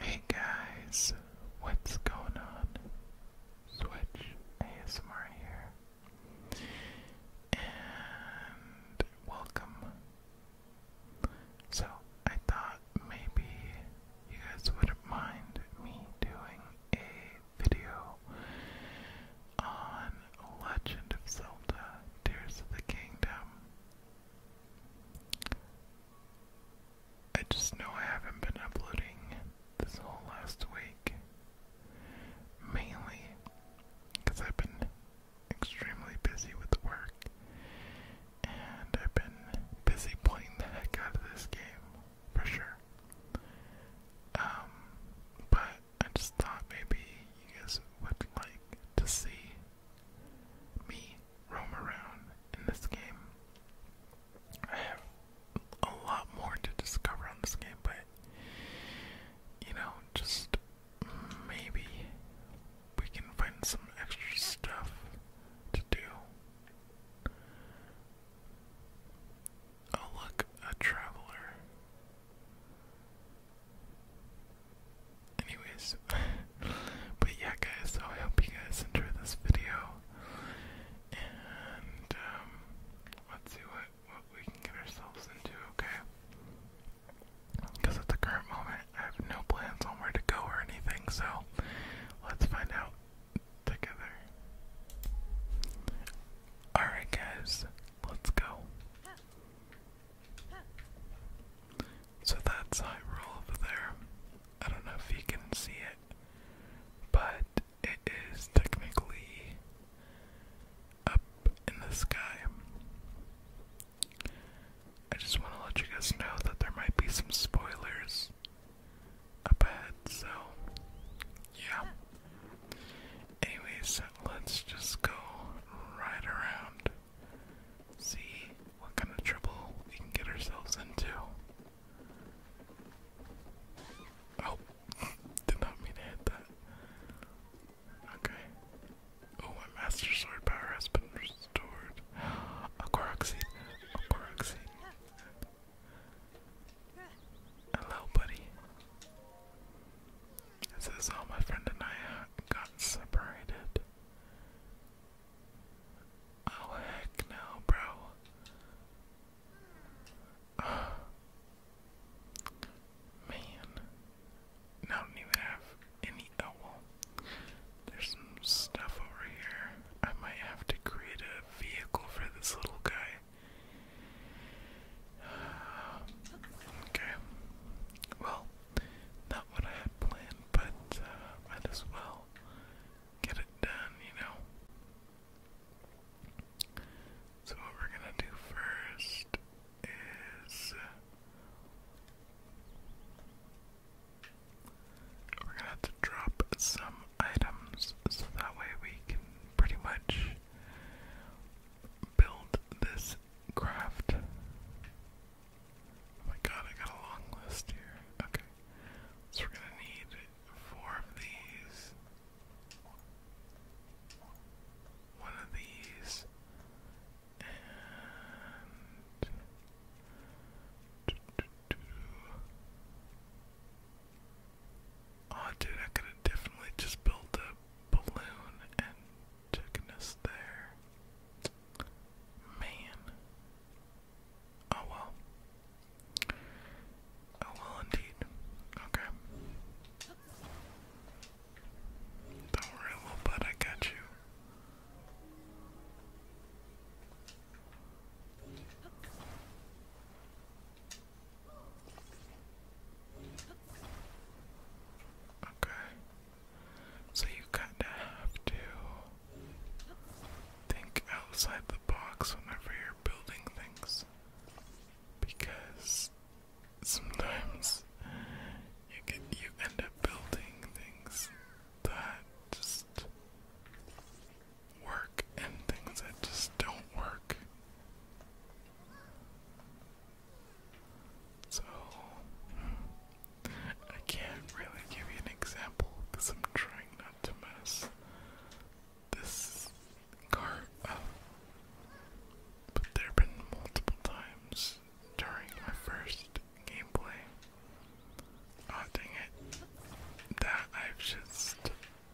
Hey guys, what's going on? Switch ASMR here. And welcome. So, I thought maybe you guys wouldn't mind me doing a video on Legend of Zelda Tears of the Kingdom. I just know I haven't been uploading this whole last week. Mainly because I've been extremely busy with work and I've been busy playing the heck out of this game for sure. Um, but I just thought maybe you guys would like to see me roam around in this game. I have a lot more to discover on this game, but you know, just maybe we can find some extra stuff to do. Oh, look, a traveler. Anyways, but yeah, guys, so I hope you guys enjoy this video. And, um, let's see what, what we can get ourselves into, okay? Because at the current moment, I have no plans on where to go or anything, so let's find out together. Alright, guys, let's go. So that's Hyrule over there. I don't know if you can see it, but it is technically up in the sky. I just want to let you guys know that there might be some spoilers ahead, so yeah. Anyways, let's just go right around. See what kind of trouble we can get ourselves into. Oh, did not mean to hit that. Okay. Oh, my Master Sword power has been restored. A Korok Seed. A Korok Seed. Hello, buddy. This is how uh, my friend and I got separated. Oh, heck no, bro. Uh, man, I don't even have any. Oh, there's some stuff over here. I might have to create a vehicle for this little guy. Okay. Well, not what I had planned, but uh, might as well get it done, you know. So what we're gonna do first is uh, we're gonna have to drop some items so that way we can pretty much build this craft. Oh my god, I got a long list here. Okay. So we're gonna need four of these. One of these. Oh, dude, I could have definitely just built a balloon and taken us there. Man. Oh well. Oh well, indeed. Okay. Don't worry, little bud, I got you. Okay. So you kinda have to think outside the box whenever you're building things. Because sometimes you get you end up building things that just work and things that just don't work. So, I can't really give you an example because I'm trying not to mess this car up. But there have been multiple times during my first gameplay. Oh, dang it. That I've just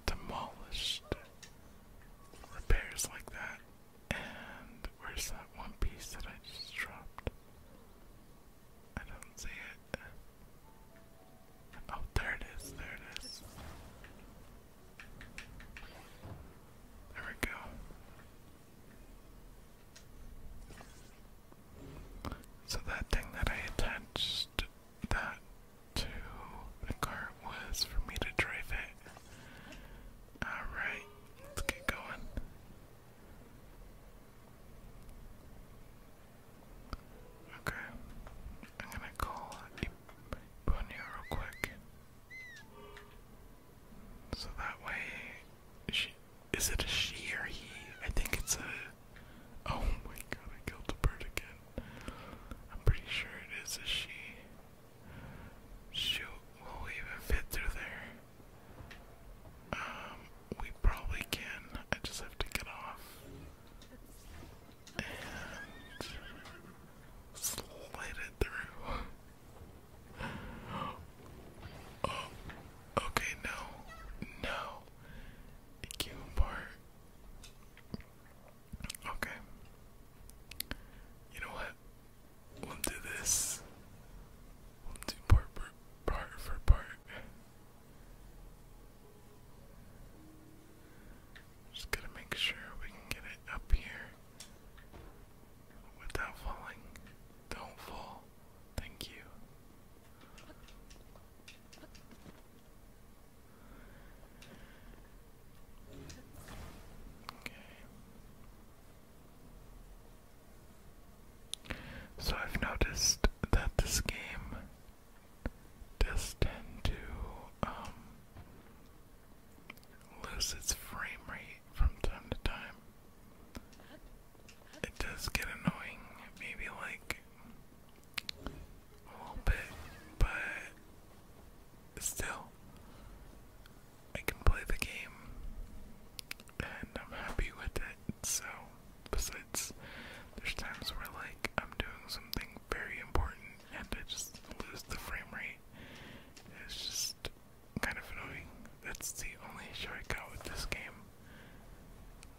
demolished. Repairs like that. And where's that one piece that I just dropped? I don't see it. Oh, there it is, there it is. There we go. So that thing that I attached that to the cart was for me to drive it. Alright, let's get going. Okay, I'm gonna call Iponia real quick. So that way, she, is it a she or he? I think it's a Oh my god, I killed the bird again. I'm pretty sure it is a she. Shoot, will we even fit through there? Um, we probably can. I just have to get off. And slide it through. oh, okay, no. No. It came apart. Okay. You know what? We'll do this. We'll do part part for part. Just gotta make sure we can get it up here without falling. Don't fall. Thank you. So I've noticed that this game does tend to um, lose its frame rate from time to time. It does get annoying, maybe like a little oh, bit, but still, I can play the game, and I'm happy with it. So, besides, there's times where like I'm doing something very important and I just lose the frame rate. It's just kind of annoying. That's the only issue I with this game.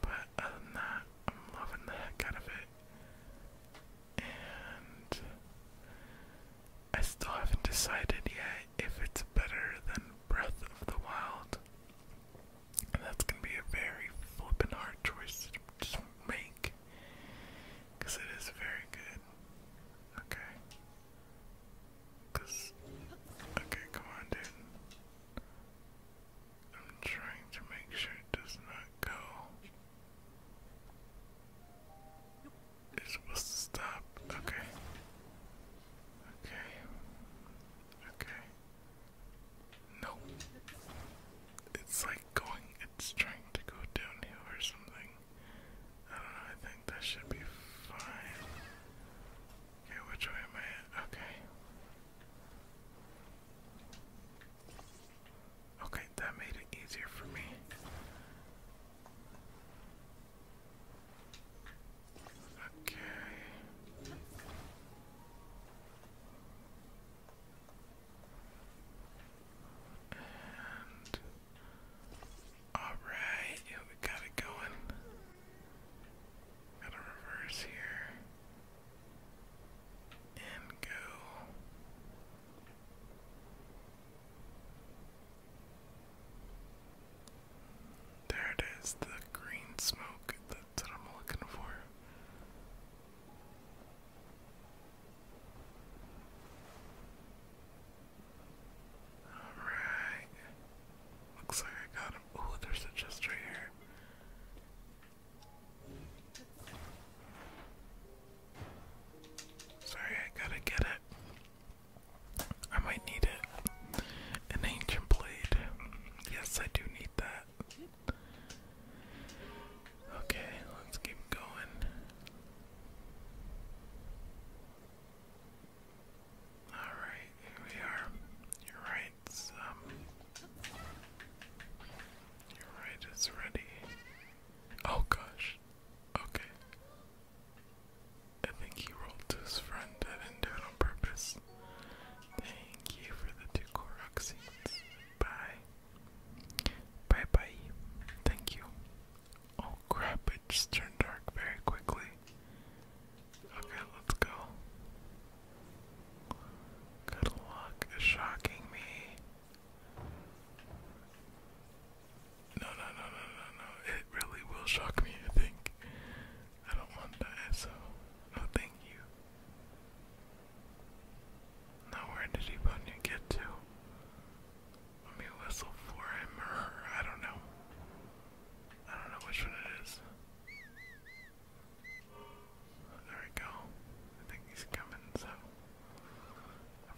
But other than that, I'm loving the heck out of it and I still haven't decided yet if it's better than Breath of the Wild. And that's gonna be a very flippin' hard choice to just make. Cause it is very good. Okay. Cause okay, come on dude. I'm trying to make sure it does not go. It's supposed to stop. Okay. Okay. Okay. No. It's like going, it's trying to go downhill or something. I don't know, I think that should be fine. Okay, which way am I Okay. Okay, that made it easier for me. Okay. all right, we got it going. Got a reverse here and go. There it is, the green smoke. That's what I'm looking for. Alright. Looks like I got him. Oh, there's a chest right here. Sorry, I gotta get it. I might need it. An ancient blade. Yes, I do need that. Okay, let's keep going. Alright, here we are. You're right. Um, you're right, it's ready. Oh gosh. Okay. I think he rolled to his friend. I did it on purpose. Thank you for the two Korok seeds. Bye. Bye bye. Thank you. Oh crap, it just turned dark very quickly. Okay, let's go. Good luck shocking me. No, no, no, no, no, no. It really will shock me, I think. I don't want that, so no thank you. Now where did he button get to? Let me whistle for him or her, I don't know. I don't know which one it is. There we go. I think he's coming, so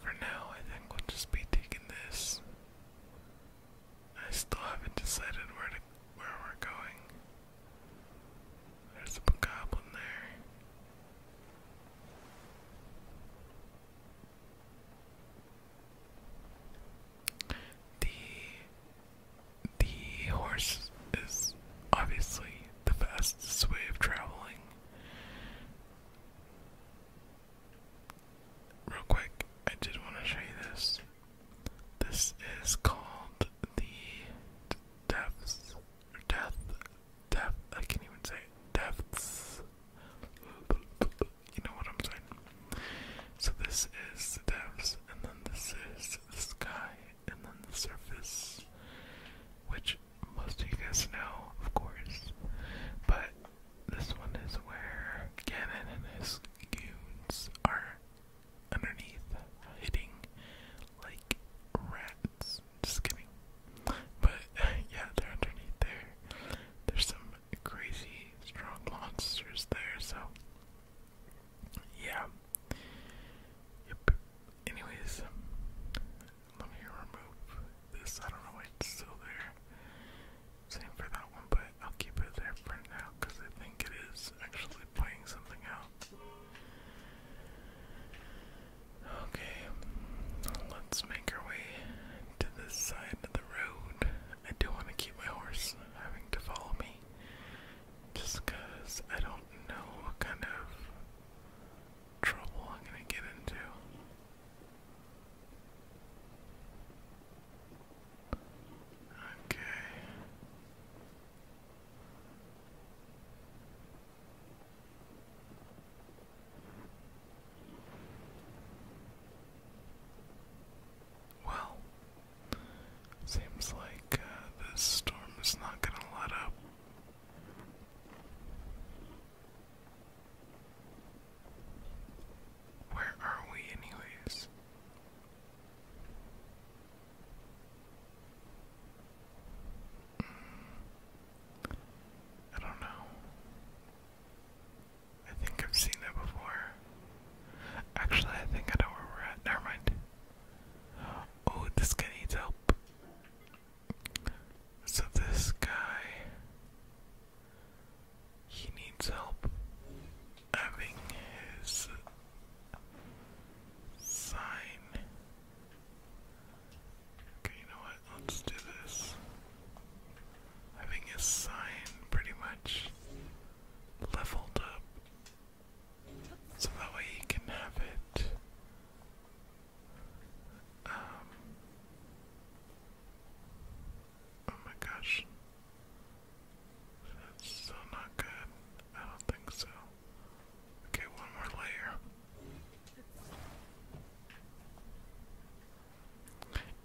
for now I think we'll just be taking this. I still haven't decided where to where we're going. There's a goblin there. The the horse is obviously the fastest way of traveling. Real quick, I did want to show you this. This is called the depths or death I can't even say depths. You know what I'm saying. So this is depths and then this is the sky and then the surface, which most of you guys know, of course. But this one is where Ganon and his goons are underneath, hitting like rats. Just kidding. But yeah, they're underneath there. There's some crazy strong monsters there, so yeah. Yep. Anyways, let me remove this. I don't know why it's still there. Same for that one, but I'll keep it there for now because I think it is actually playing something out. Okay, let's make our way to this side of the road. I do want to keep my horse having to follow me just because I don't know what kind of trouble I'm going to get into. Okay. Well, Seems like uh, this storm is not going to let up. Where are we, anyways? Hmm. I don't know. I think I've seen it before. Actually, I think I know where we're at. Never mind. Oh, this guy needs help. So this guy, he needs help having his sign. Okay, you know what? Let's do this. Having his sign pretty much leveled up so that way you can have it um, Oh my gosh. That's so not good. I don't think so. Okay, one more layer.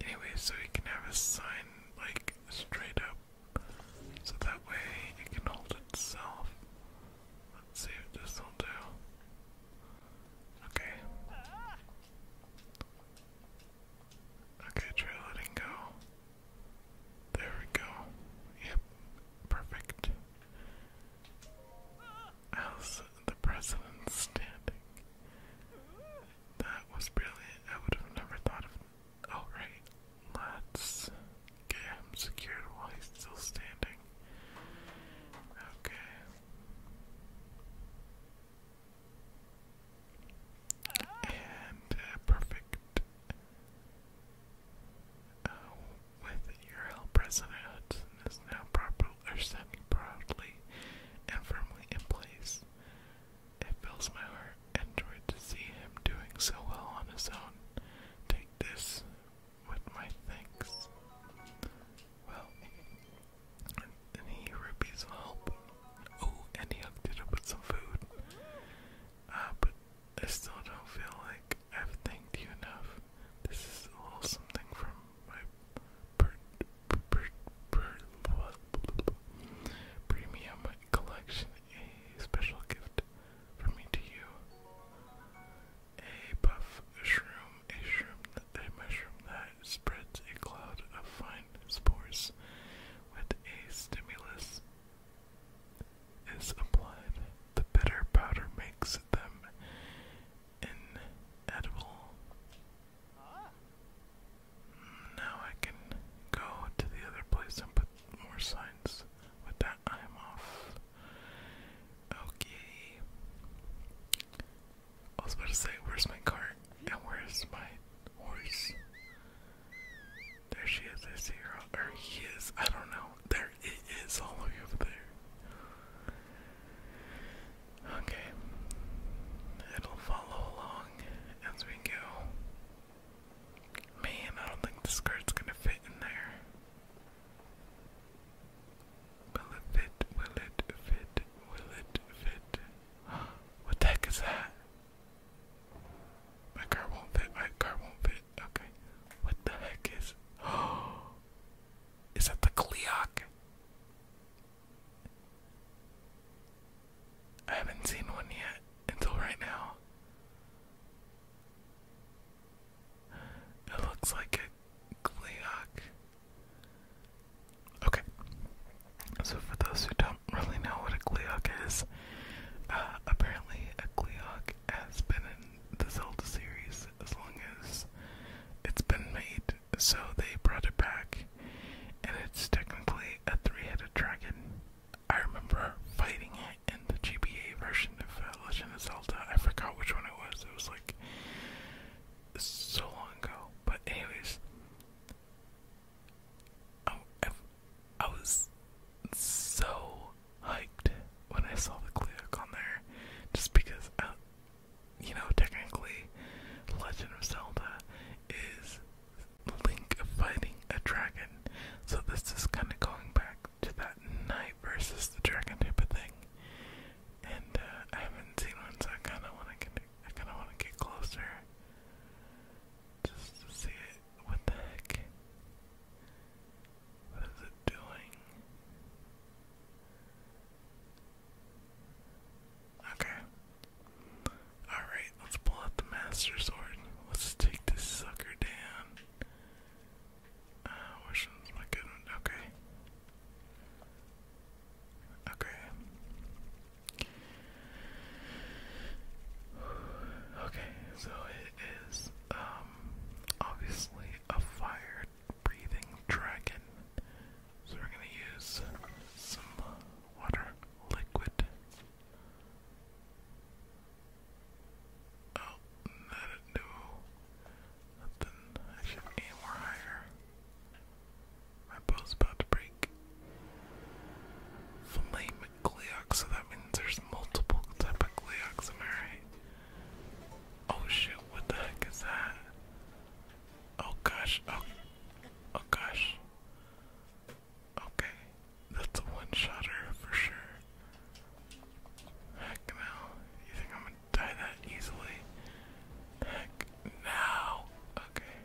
Anyway, so you can have a sign like straight up so that way it can hold itself. Let's see if this will do. Okay. Okay, try letting go. There we go. Yep, perfect. How's the president standing? That was brilliant. I would have never thought of Alright, oh, let's get him secured while he's still standing. Okay. And uh, perfect. Uh, with your help, President is now properly or proudly and firmly in place. It fills my heart and joy to see him doing so well on his own. Take this with my thanks. Well, any rupees will help. Oh, and he hooked it up with some food. Uh, but I still don't feel like I've thanked you enough. This is a something from my premium collection a special gift for me to you. A puff a shroom, a shroom, a mushroom that spreads a cloud of fine spores with a stimulus is applied. The bitter powder makes them inedible. Ah. Now I can go to the other place and put more signs. With that, I off. Okay. I was about to say, where's my cart? And where's my horse? There she is, I see her. Or he is, I don't know. There it is, all the way over there. Okay. It'll follow along as we go. Man, I don't think the skirt's gonna fit in there. Will it fit? Will it fit? Will it fit? What the heck is that? My car won't fit. My car won't fit. Okay. What the heck is. Is that the Cleoc? I haven't seen one yet until right now. It looks like a Gleok. Okay. So for those who don't really know what a Gleok is, uh, apparently a Gleok has been in the Zelda series as long as it's been made. So they brought it back, and it's technically a three-headed dragon. I remember fighting it in the GBA version of uh, Legend of Zelda. I forgot which one it was. It was like so long ago. But anyways, I, was so hyped when I saw the Cleoc on there, just because uh, you know, technically, Legend of Zelda is Link fighting a dragon. So this is kind of going back to that knight versus the dragon type of thing. And uh, I haven't seen one, so I kind of want to get closer just to see it. What the heck? What is it doing? Okay. Alright, let's pull out the Master Sword. Let's take this sucker down. Uh, which one's my good one? Okay. Okay. Okay, so it is, um, obviously a fire breathing dragon. So we're going to use some water liquid. Oh, that'd do nothing. I should aim more higher. My bow's about to break. Flame Gleox, so that means there's multiple type of Gleox, right? Oh shoot, what the heck is that? Oh gosh, oh, oh gosh. Okay, that's a one-shotter for sure. Heck no. You think I'm gonna die that easily? Heck no. Okay.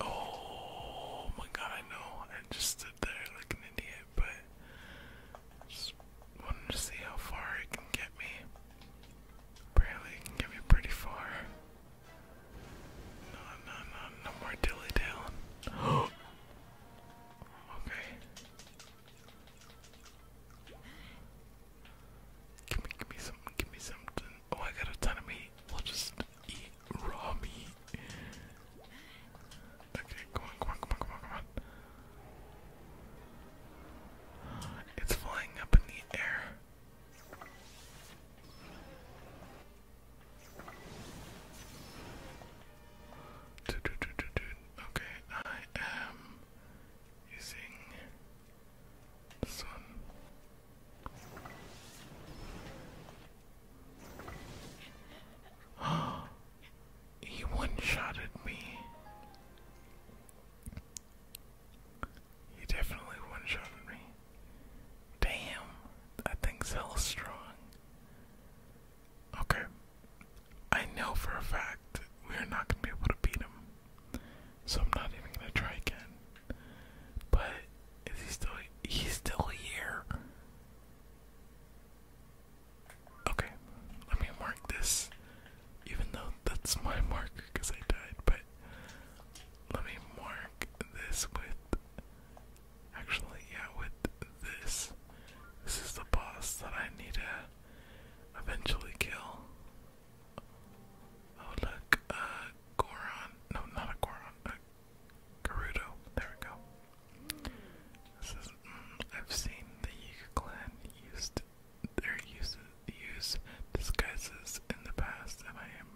Oh my god, I know. I just stood there like an idiot it, but just wanted to see how far it can get me. Apparently, can get me pretty far. No, no, no, no more dilly dallying. okay. Give me, give me something, give me something. Oh, I got a ton of meat. We'll just eat raw meat. Okay, come on, come on, come on, come on, come on. It's flying up in the air. Okay, I am using this one. Oh, he one-shotted me. He definitely one-shotted me. Damn, that thing's hella strong. Okay, I know for a fact we're not gonna be able to beat him, so I'm not even gonna try again. But is he still? He's still here. Okay, let me mark this, even though that's my marker because I died, but let me mark this with. Actually, yeah, with this. This is the boss that I need to eventually kill. Oh, look, uh, Goron. No, not a Goron, a Gerudo. There we go. Mm, I've seen the Yuga clan used their use, use disguises in the past, and I am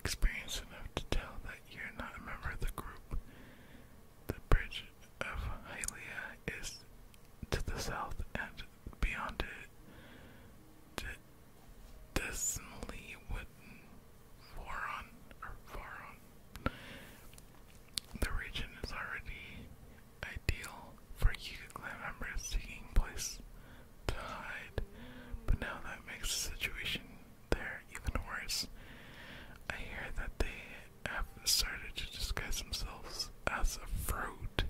experienced enough to tell that you're not a member of the group. The bridge of Hylia is to the south, and beyond it, Desmally Wooden Foron, or Foron, the region is already ideal for Yuga clan members seeking place to hide, but now that makes the situation there even worse. I hear that they have started to disguise themselves as a fruit.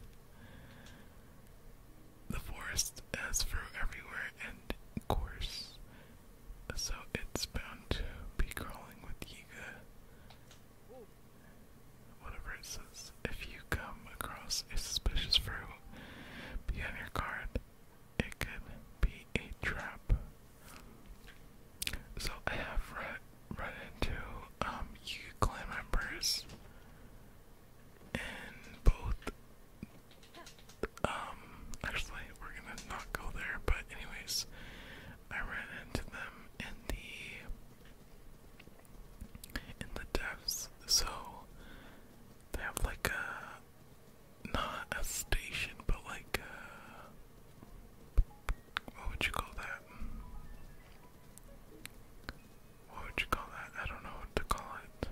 The forest has fruit everywhere and course, so it's bound to be crawling with Yiga. Whatever it says. If you come across a suspicious fruit, be on your guard. It could be a trap. So I have run into um clan members and both um, actually we're gonna not go there but anyways I ran into them in the in the depths, so they have like a not a station, but like what would you call that? What would you call that? I don't know what to call it.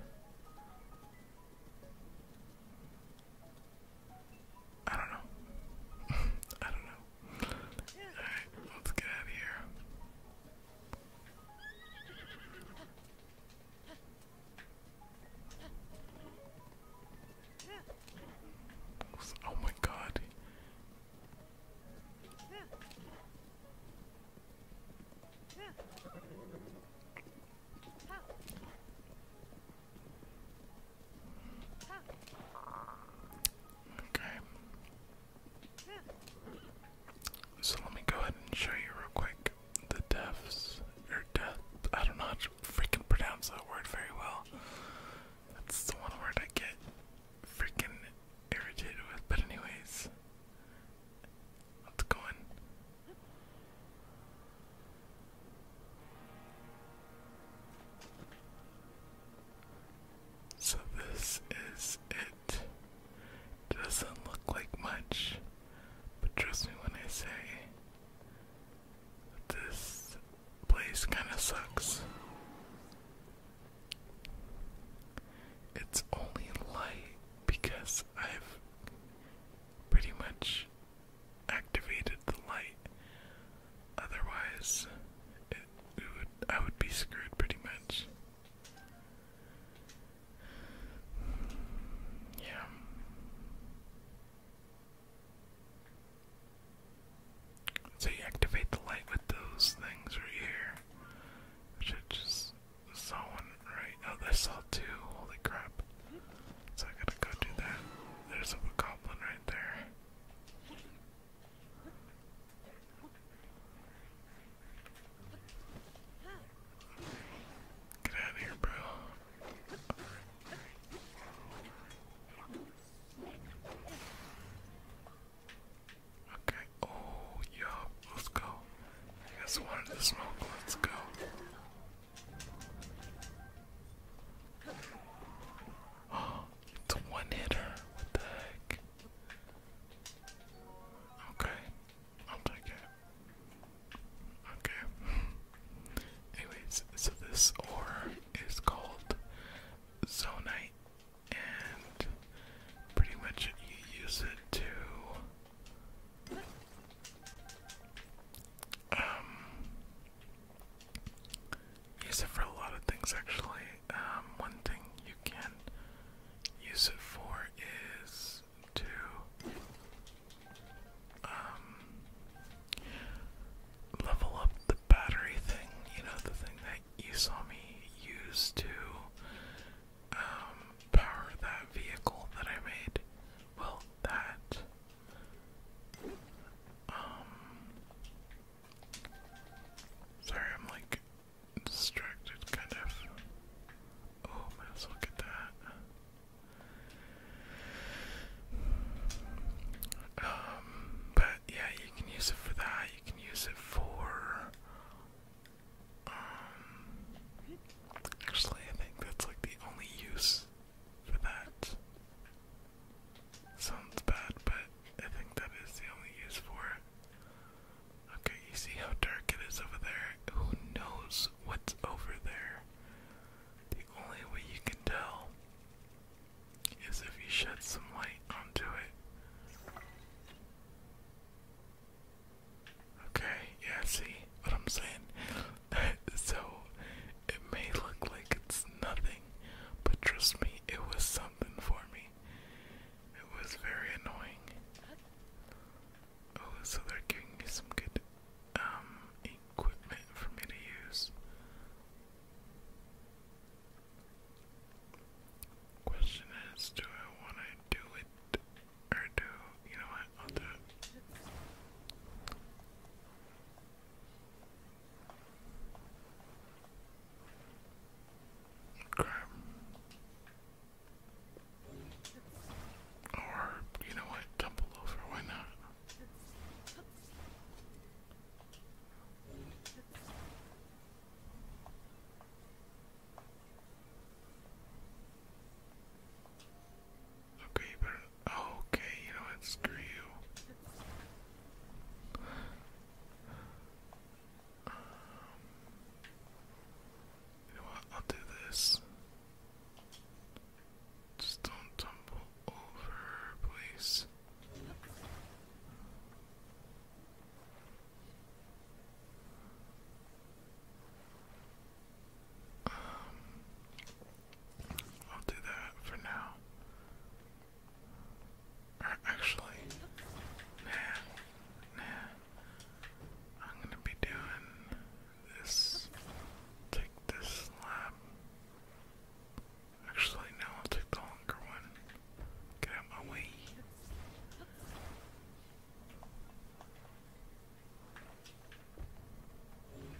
I don't know. I don't know. Alright, let's get out of here. Oh my god. Okay. So let me go ahead and show you real quick the deaths or death. I don't know how to freaking pronounce that word very well. That's the one word I get freaking irritated with. But anyways, let's go in. So, this is it. doesn't look like much, but trust me when I say this place kind of sucks. It's only light because I've pretty much activated the light. Otherwise, it, would, I would be screwed pretty much. Yeah. So you activate the light with those things right here. Which I just saw one right. Oh, I saw two. Holy crap. So I gotta go do that. There's a goblin right there. Get out of here, bro. Okay, oh, yo, let's go. I guess wanted the smoke, let's go it's a one hitter. What the heck? Okay, I'll take it. Okay. Anyways, so this ore is called Zonite, and pretty much you use it to. Um, Use it for a lot of things actually. Um, one thing you can use it for is to um, level up the battery thing, you know, the thing that you saw me use to um, power that vehicle that I made. Well, that um, sorry, I'm like distracted, kind of. Oh, might as that. Um, but yeah, you can use it for that. You can use it for. Um, actually, I think that's like the only use for that. Sounds bad, but I think that is the only use for it. Okay, you see how dark it is over there? Who knows what's over there? The only way you can tell is if you shed some light onto it. Okay, yeah, see what I'm saying? so it may look like it's nothing, but trust me, it was something for me. It was very annoying. Oh, so they're giving me some good um, equipment for me to use. Question is, do I want to do it, or do you know right, Okay. Or, you know what, tumble over, why not? Okay, but okay, you know what? Screw you. you know what? I'll do this. Just don't tumble over, please. Um, I'll do that for now. actually, nah, nah. I'm gonna be doing this. Take this slab. Actually, no, I'll take the longer one. Get out my way. And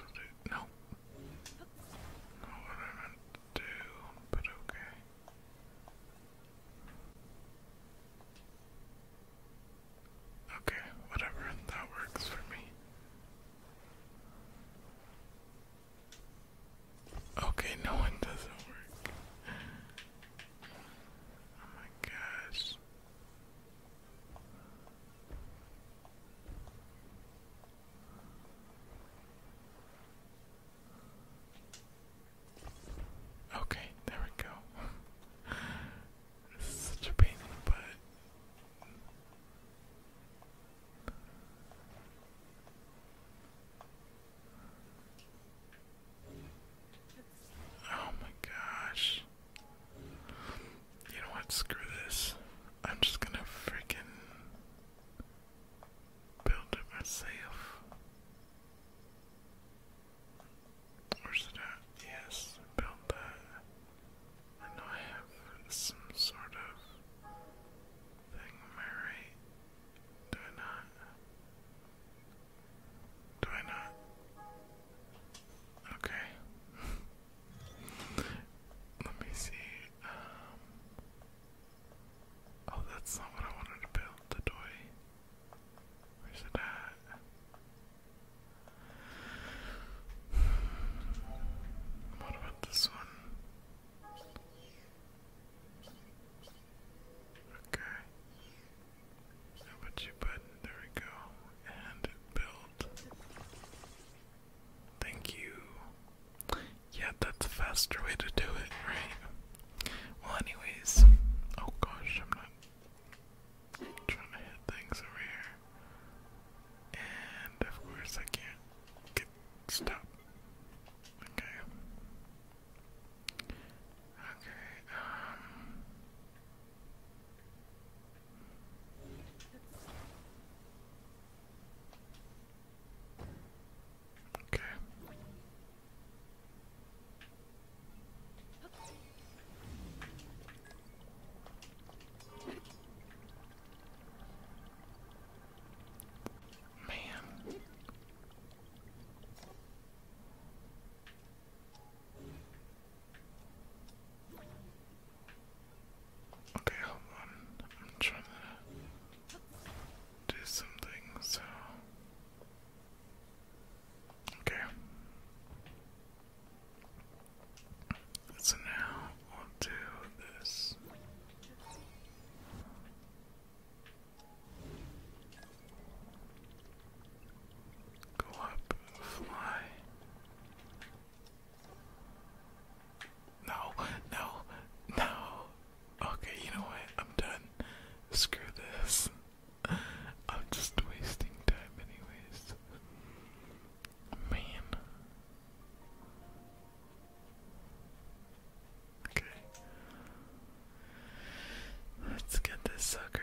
do, no, not what do, but okay. Okay, whatever, that works for me. Okay, no, one doesn't work. Oh my gosh. Okay, there we go. this such a pain in Oh my gosh. You know what? Screw this. I'm just gonna freaking build myself. Where's it Yes, build that. I know I have some sort of thing, am Do I not? Do I not? Okay. Let me see. Um, oh, that's not what I wanted to build, the toy. Where's it at? What do this one. Okay. How about you, bud? There we go. And build. Thank you. Yeah, that's a faster way to do it, right? Well, anyways. Oh gosh, I'm not trying to hit things over here. And of course I can't stop. Okay. Okay, um. Okay. Man. Okay, hold on. I'm trying to do something, so. Okay. So now we'll do this. Go up, fly. No, no, no. Okay, you know what? I'm done. Screw this. I'm just wasting time, anyways. Man, Okay. Let's get this sucker here.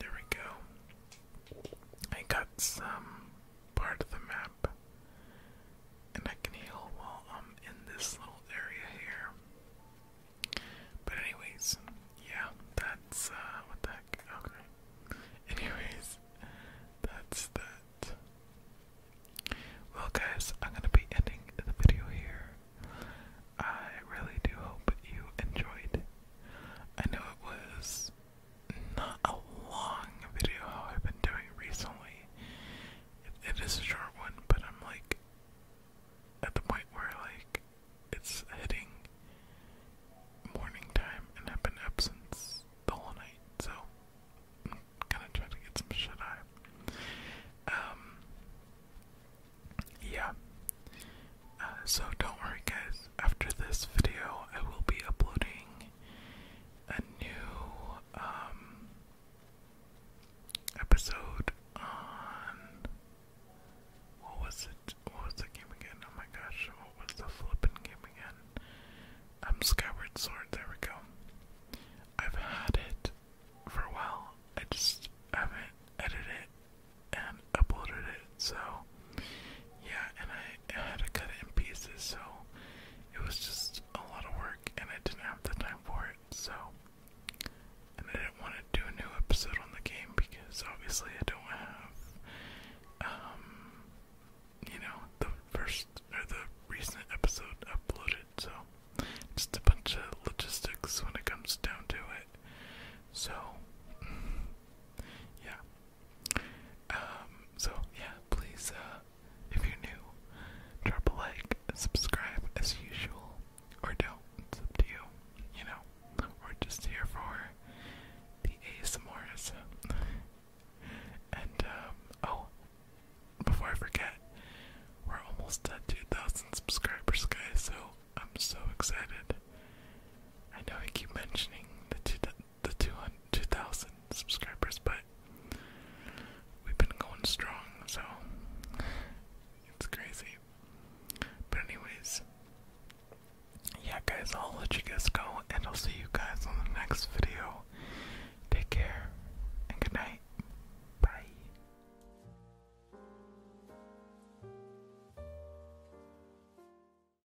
There we go. I got some part of the map. And I can heal while I'm in this little area here. But anyways, yeah, that's uh, what the Okay. Anyways, that's that. Well guys, I'm gonna be ending the video here. I really do hope you enjoyed. I know it was not a long video how I've been doing recently. it is a short one, but I'm like at the point where like it's hitting morning time and I've been absent since the whole night, so I'm gonna try to get some shut eye. Um yeah. Uh, so don't worry guys, after this video I will be uploading a new um episode on what was it? What was the game again? Oh my gosh, what was the flippin' game again? Um Skyward Sword, there we go. I've had it for a while. I just haven't edited and uploaded it, so yeah, and I, had to cut it in pieces, so it was just a lot of work, and I didn't have the time for it, so. And I didn't want to do a new episode on the game because obviously I don't have, um, you know, the first or the recent episode uploaded, so just a bunch of logistics when it comes down to it. So, yeah, um, so yeah, please, uh, if you're new, drop a like, subscribe as usual, or don't. It's up to you, you know. We're just here for the ASMRs. and, um, oh, before I forget, we're almost at 2,000 subscribers, guys, so I'm so excited. I know I keep mentioning the the 2,000 subscribers, but we've been going strong, so it's crazy. But, anyways, yeah, guys, I'll let you guys go, and I'll see you guys on the next video. Take care, and good night. Bye.